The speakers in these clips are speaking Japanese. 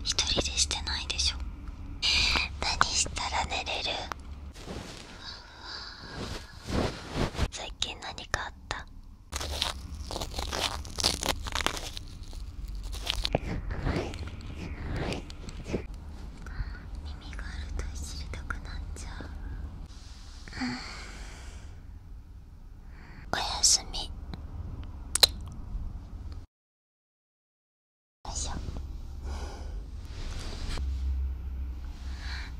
一人でしてないでしょ何したら寝れる最近何かあった耳があるといじりたくなっちゃうおやすみいしょ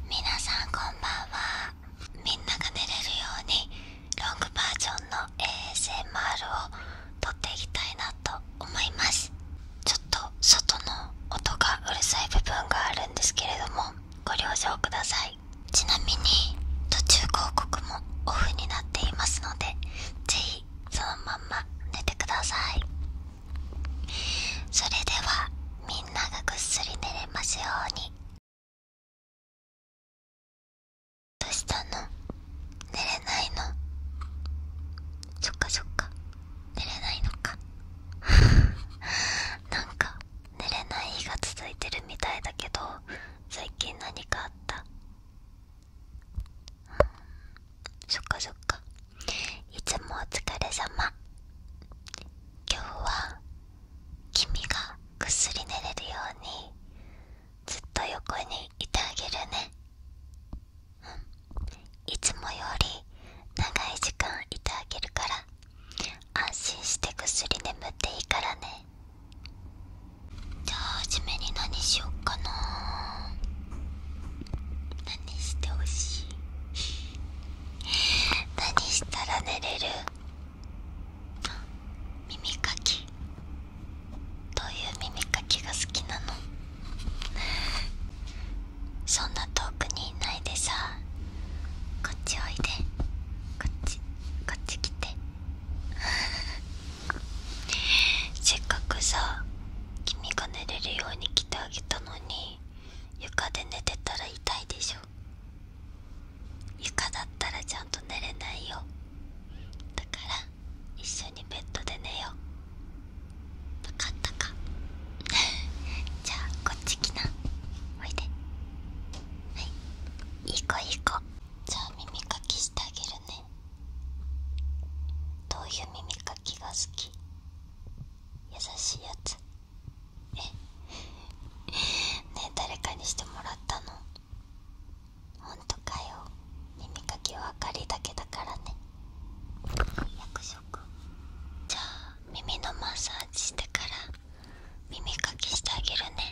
皆さんこんばんはみんなが寝れるようにロングバージョンの ASMR を撮っていきたいなと思いますちょっと外の音がうるさい部分があるんですけれどもご了承くださいちなみに途中広告もオフになっていますのでぜひそのまんま寝てくださいそれではみんながぐっすり寝れますようにどうしたの寝れないのそっかそっか寝れないのか なんか寝れない日が続いてるみたいだけど最近何かあったそっかそっかいつもお疲れ様今日は君がぐっすり寝れるようにずっと横にいてあげるね、いつもより長い時間いてあげるから安心してぐっすり眠っていいからねじゃあ初めに何しよっかな何してほしい 何したら寝れる耳かきどういう耳かきが好きなのそんな遠くにいないでさこっちおいでこっちこっち来てせっかくさ君が寝れるように来てあげたのに床で寝てたら痛いでしょ床だったらちゃんと寝れないよだから一緒にベッドで寝よう分かったか じゃあこっち来なおいではいいい子いい子じゃあ耳かきしてあげるねどういう耳かきが好き優しいやつえ ねえ誰かにしてもらったのほんとかよ耳かきは明かりだけだからね役職じゃあ耳のマッサージしてから耳かきしてあげるね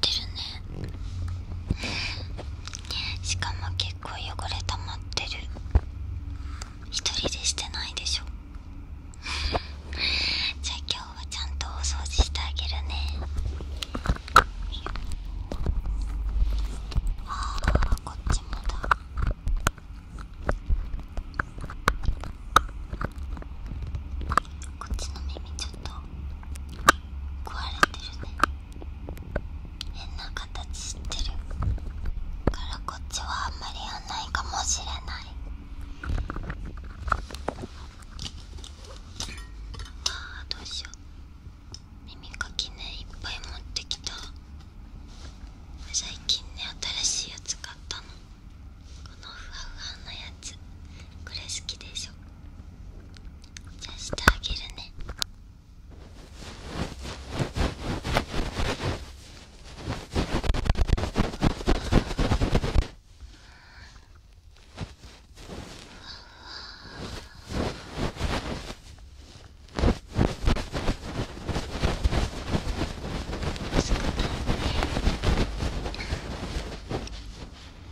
てるねしかも結構汚れ溜まってる一人でしてないでしょじゃあ今日はちゃんとお掃除してあげるねあーこっちもだこっちの耳ちょっと壊れてるね変な形してるからこっちはあんまりやんないかもしれないああ、どうしよう耳かきねいっぱい持ってきた最近ね新しいやつ買ったのこのふわふわのやつこれ好きでしょじゃあしてあげるね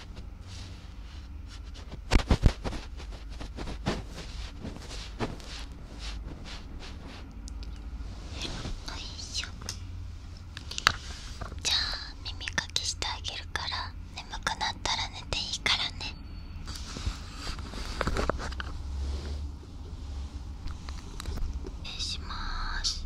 よいしょじゃあ耳かきしてあげるから眠くなったら寝ていいからね失礼しまーすよ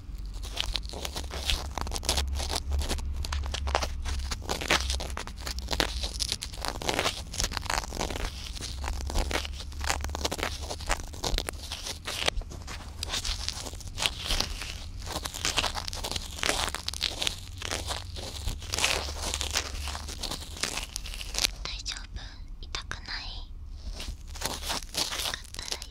大丈夫痛くないかったら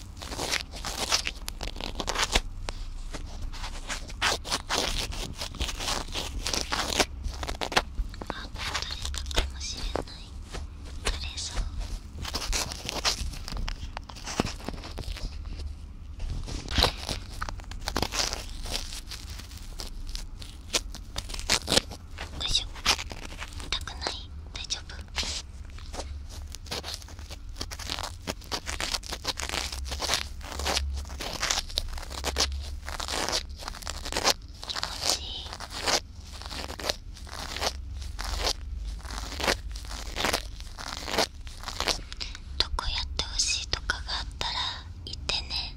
たかもしれない取れよいしょ痛くない大丈夫ちいい。どこやってほしいとかがあったら言ってね。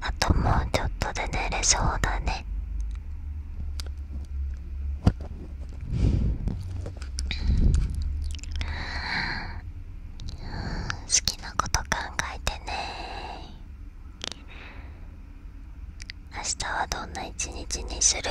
あともうちょっとで寝れそうだね好きなこと考えてね明日はどんな一日にする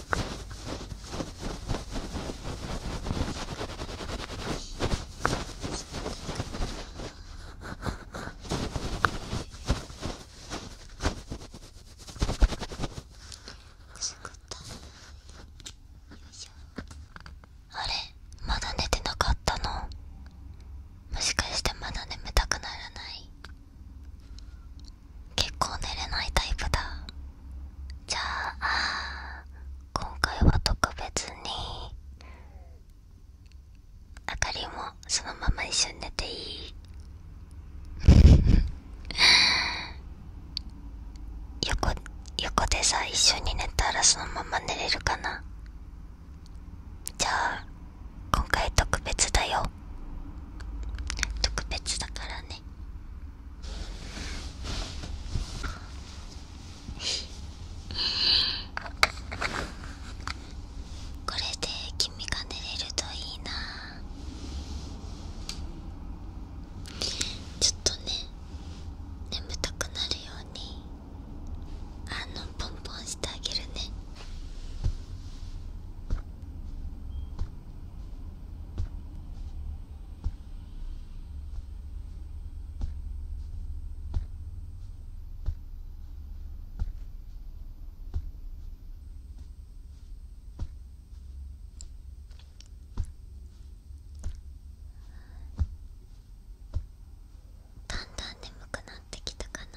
あれまだ寝てなかったのもしかしてまだ眠たくならない結構寝れないタイプだじゃあ今回は特別にあかりもそのまま一緒に寝ていい 横横でさ一緒に寝たらそのまま寝れるかなじゃあ今回特別だよ特別だからねこれで君が寝れるといいなちょっとね眠たくなるようにあのポンポンしてあげるねだんだん眠くなってきたかな。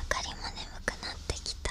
あかりも眠くなってきた。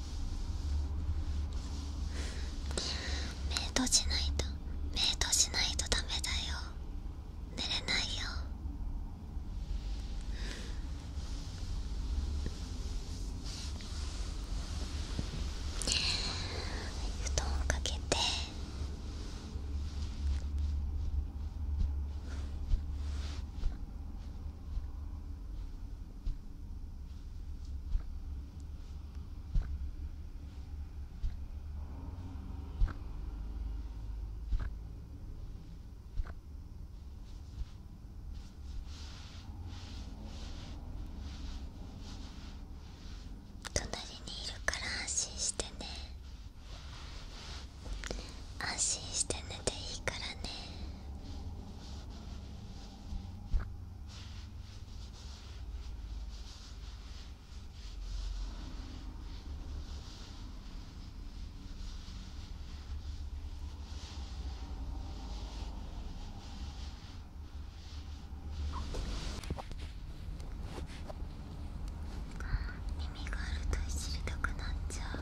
メイ閉しないとメイ閉しないとダメだよ寝れないよ布団かけて隣にいるから安心してね安心して寝ていいからね耳があるといじりたくなっちゃう。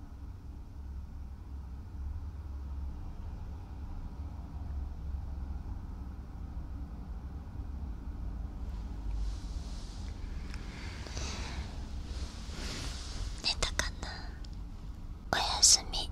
寝たかなおやすみ。